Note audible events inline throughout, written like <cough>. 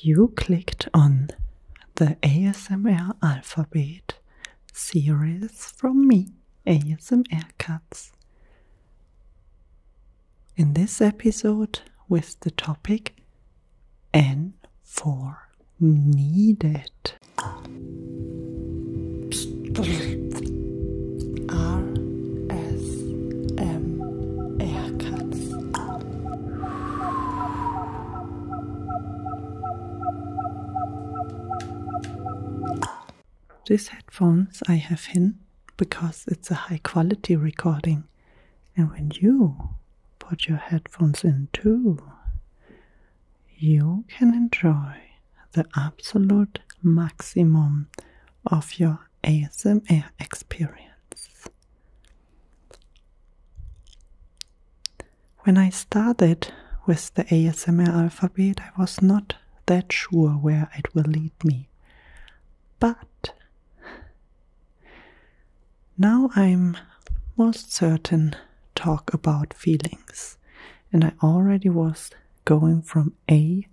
You clicked on the ASMR Alphabet series from me, ASMR Cuts. In this episode, with the topic N for needed. R S M R cuts. These headphones I have in because it's a high quality recording, and when you put your headphones in too, you can enjoy the absolute maximum of your ASMR experience. When I started with the ASMR alphabet, I was not that sure where it will lead me. But now I'm most certain talk about feelings, and I already was going from A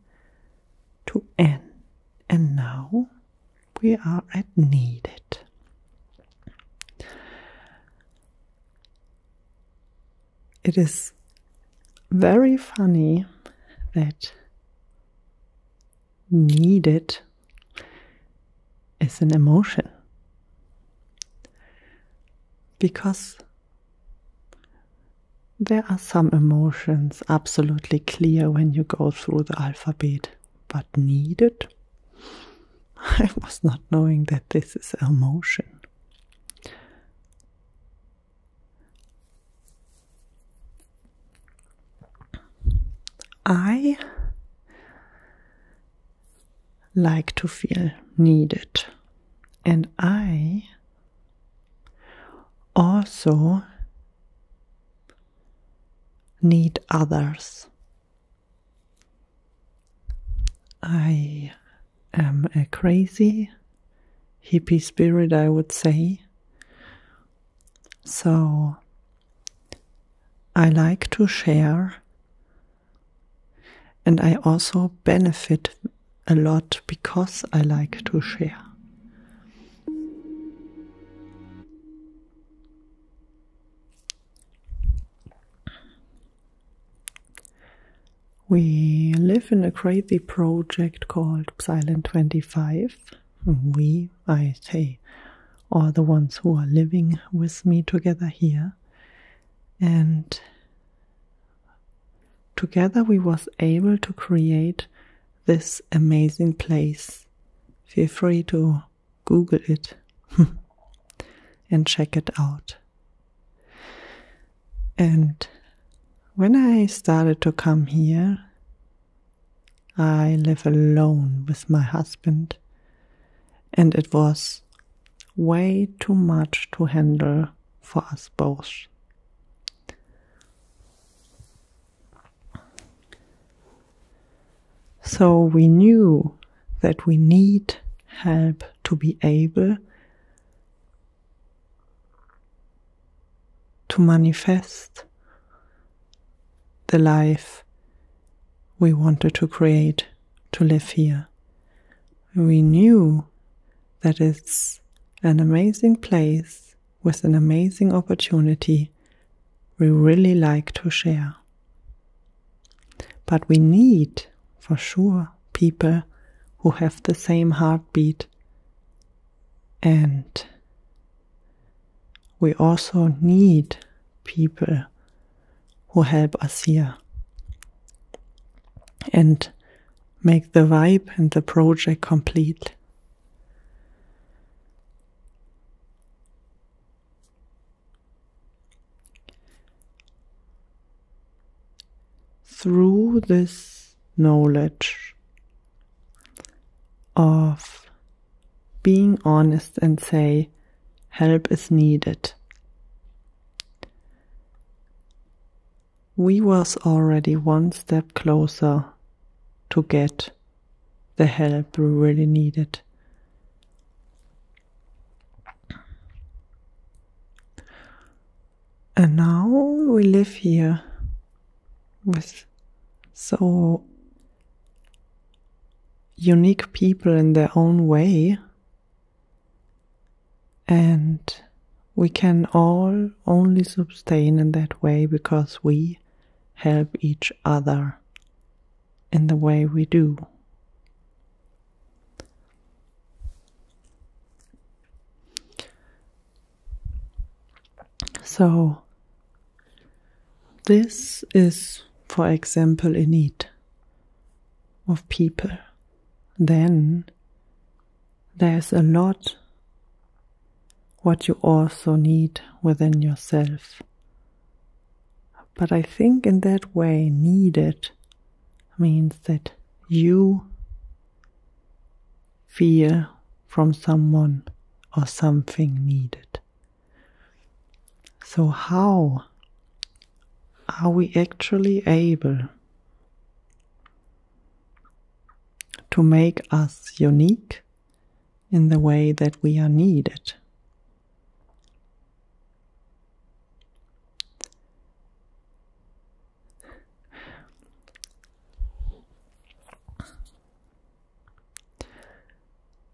to N, and now we are at needed. It is very funny that needed is an emotion because there are some emotions absolutely clear when you go through the alphabet, but needed? <laughs> I was not knowing that this is a motion. I like to feel needed, and I also need others. I am a crazy hippie spirit, I would say. So I like to share, and I also benefit a lot because I like to share. We live in a crazy project called Silent 25. We, I say, are the ones who are living with me together here. And together we was able to create this amazing place. Feel free to Google it <laughs> and check it out. And when I started to come here, I live alone with my husband, and it was way too much to handle for us both. So we knew that we need help to be able to manifest the life we wanted to create to live here. We knew that it's an amazing place with an amazing opportunity we really like to share. But we need, for sure, people who have the same heartbeat. And we also need people who help us here. And make the vibe and the project complete. Through this knowledge of being honest and say, help is needed we was already one step closer to get the help we really needed. And now we live here with so unique people in their own way. And we can all only sustain in that way because we help each other in the way we do. So, this is, for example, a need of people. Then there's a lot what you also need within yourself. But I think in that way, needed means that you fear from someone or something needed. So, how are we actually able to make us unique in the way that we are needed.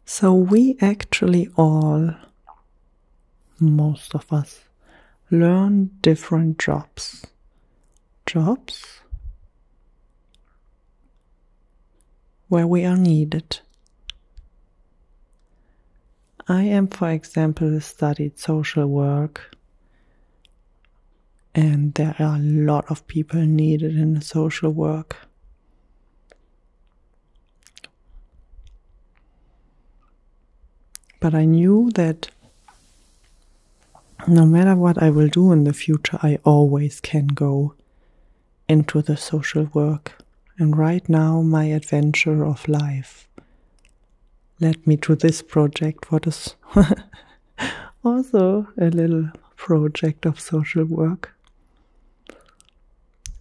So we actually all, most of us, learn different jobs jobs where we are needed. I am, for example, studied social work, and there are a lot of people needed in social work. But I knew that no matter what I will do in the future, I always can go into the social work. And right now, my adventure of life led me to this project, what is <laughs> also a little project of social work.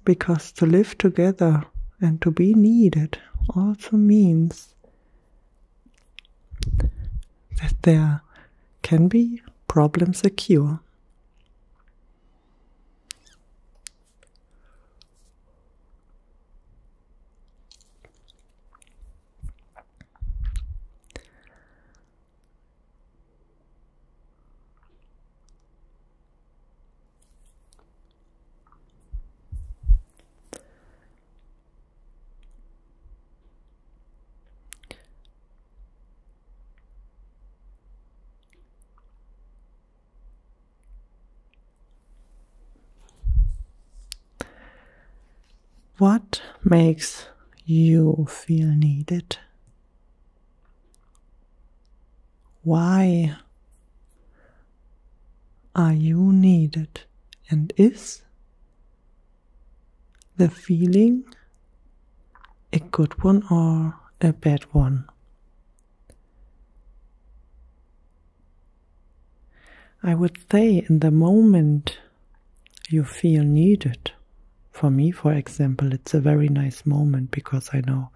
Because to live together and to be needed also means that there can be problems a cure. What makes you feel needed? Why are you needed? And is the feeling a good one or a bad one? I would say in the moment you feel needed. For me, for example, it's a very nice moment because I know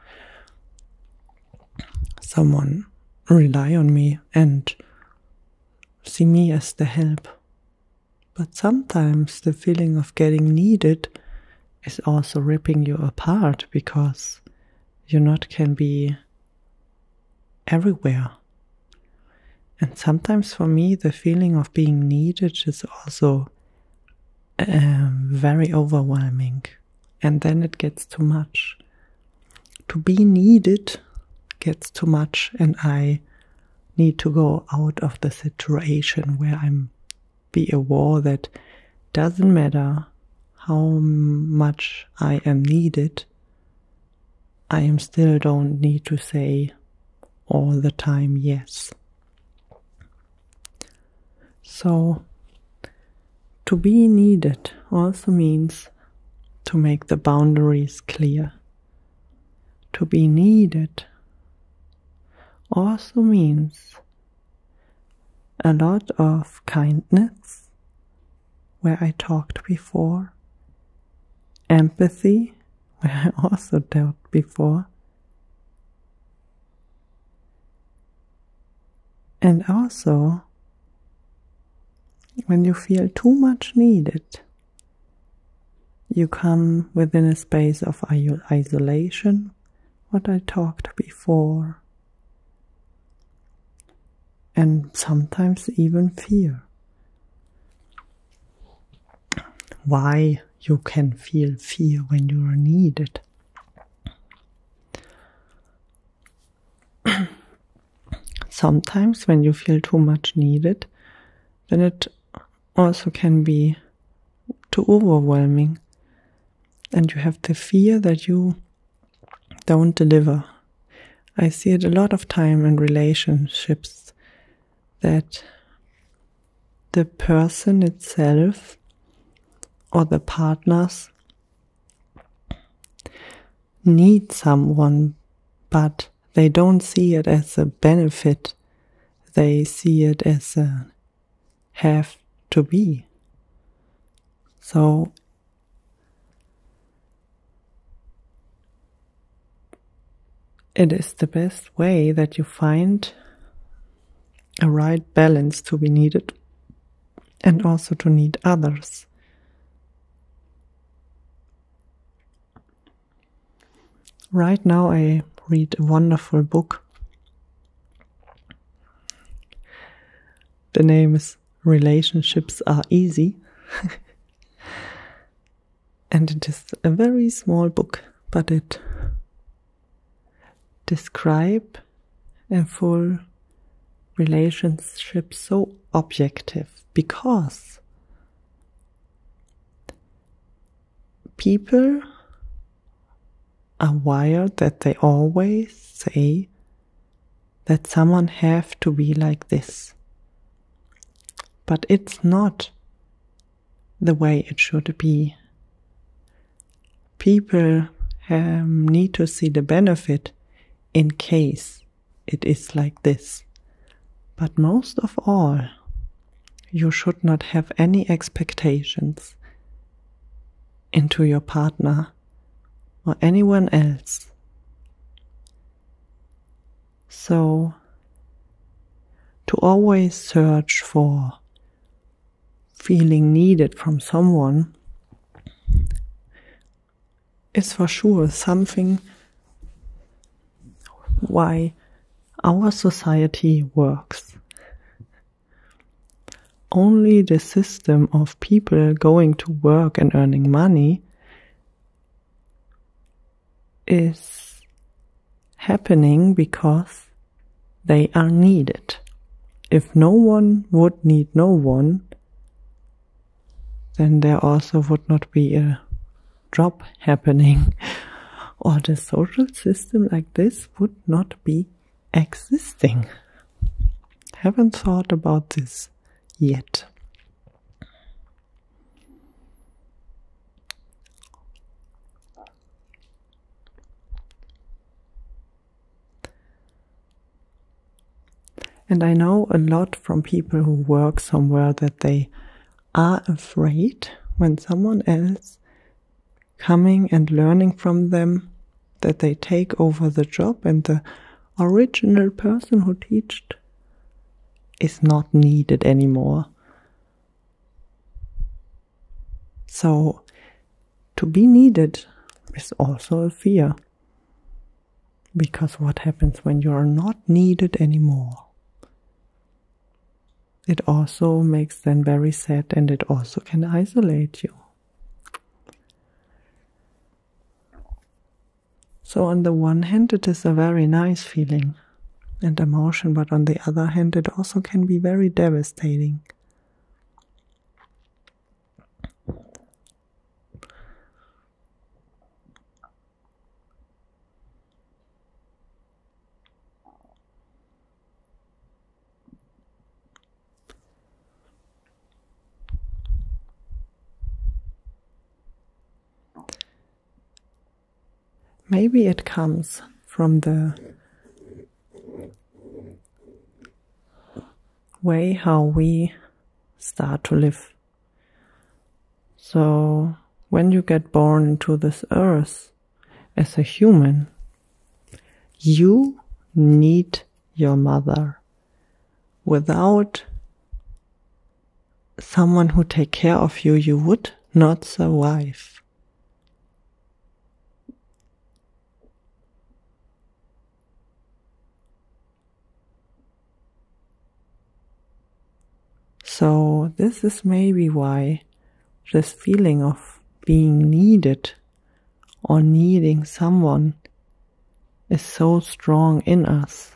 someone rely on me and see me as the help. But sometimes the feeling of getting needed is also ripping you apart because you not can be everywhere. And sometimes for me, the feeling of being needed is also um, very overwhelming. And then it gets too much to be needed gets too much and I need to go out of the situation where I'm be aware that doesn't matter how much I am needed, I am still don't need to say all the time yes. So to be needed also means to make the boundaries clear. To be needed also means a lot of kindness, where I talked before, empathy, <laughs> where I also dealt before, and also when you feel too much needed, you come within a space of isolation, what I talked before, and sometimes even fear. Why you can feel fear when you are needed? <coughs> Sometimes, when you feel too much needed, then it also can be too overwhelming, and you have the fear that you don't deliver. I see it a lot of time in relationships that the person itself or the partners need someone, but they don't see it as a benefit. They see it as a have to be. So it is the best way that you find a right balance to be needed and also to need others. Right now, I read a wonderful book. The name is Relationships Are Easy. <laughs> and it is a very small book, but it describe a full relationship so objective because people are wired that they always say that someone have to be like this but it's not the way it should be people um, need to see the benefit in case it is like this. But most of all, you should not have any expectations into your partner or anyone else. So, to always search for feeling needed from someone is for sure something why our society works. Only the system of people going to work and earning money is happening because they are needed if no one would need no one, then there also would not be a drop happening, <laughs> or the social system like this would not be existing. Haven't thought about this yet. And I know a lot from people who work somewhere that they are afraid when someone else coming and learning from them that they take over the job and the original person who taught is not needed anymore. So to be needed is also a fear. Because what happens when you are not needed anymore? It also makes them very sad and it also can isolate you. So, on the one hand, it is a very nice feeling and emotion, but on the other hand, it also can be very devastating. Maybe it comes from the way how we start to live. So, when you get born into this earth as a human, you need your mother. Without someone who take care of you, you would not survive. So, this is maybe why this feeling of being needed or needing someone is so strong in us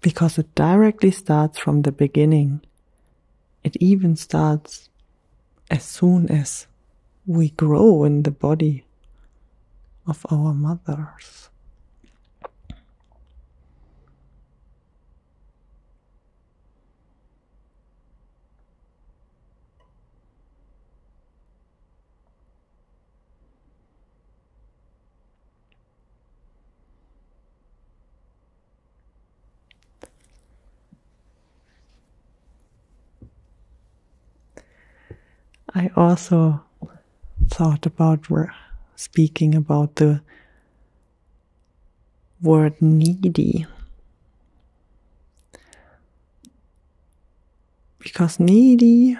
because it directly starts from the beginning. It even starts as soon as we grow in the body of our mothers. I also thought about speaking about the word needy. Because needy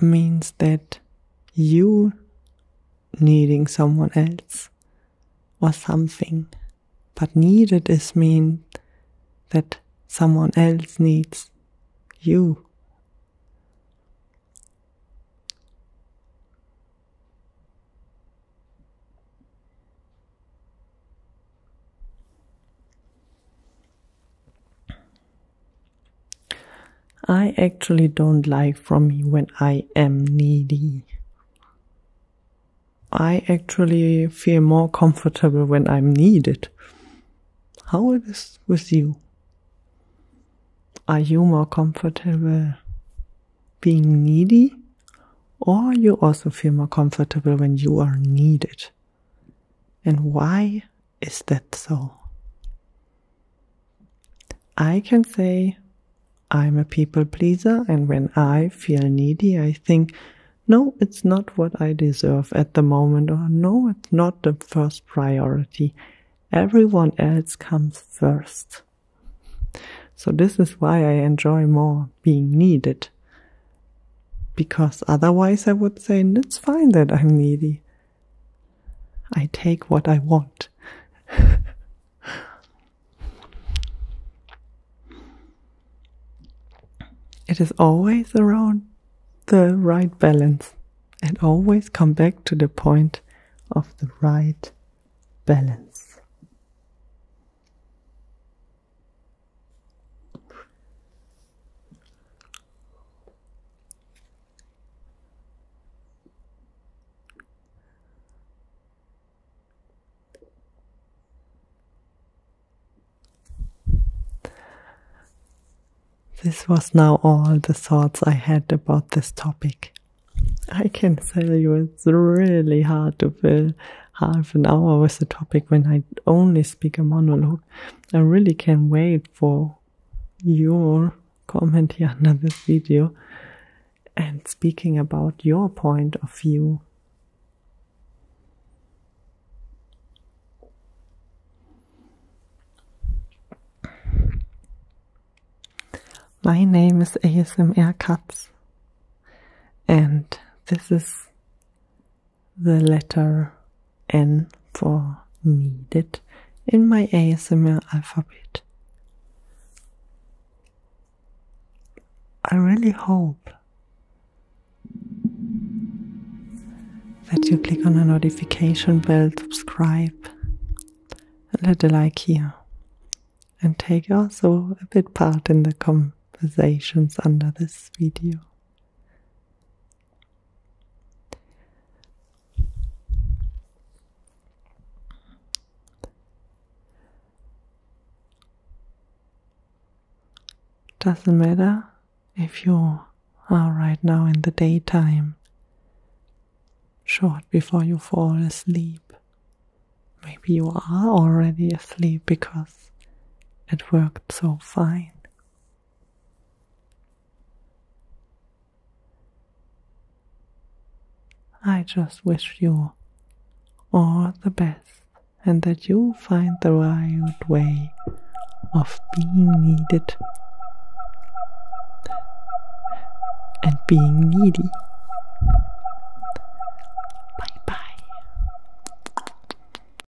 means that you needing someone else or something. But needed is mean that someone else needs you. I actually don't like from me when I am needy. I actually feel more comfortable when I'm needed. How is it is with you? Are you more comfortable being needy? Or you also feel more comfortable when you are needed? And why is that so? I can say I'm a people pleaser, and when I feel needy, I think, no, it's not what I deserve at the moment, or no, it's not the first priority. Everyone else comes first. So, this is why I enjoy more being needed. Because otherwise, I would say, it's fine that I'm needy. I take what I want. <laughs> it is always around the right balance and always come back to the point of the right balance. This was now all the thoughts I had about this topic. I can tell you it's really hard to fill half an hour with a topic when I only speak a monologue. I really can not wait for your comment here under <laughs> this video and speaking about your point of view. My name is ASMR Cuts, and this is the letter N for needed in my ASMR alphabet. I really hope that you click on a notification bell, subscribe, and let a like here. And take also a bit part in the conversations under this video. Doesn't matter if you are right now in the daytime, short before you fall asleep. Maybe you are already asleep because it worked so fine. I just wish you all the best and that you find the right way of being needed and being needy. Bye bye.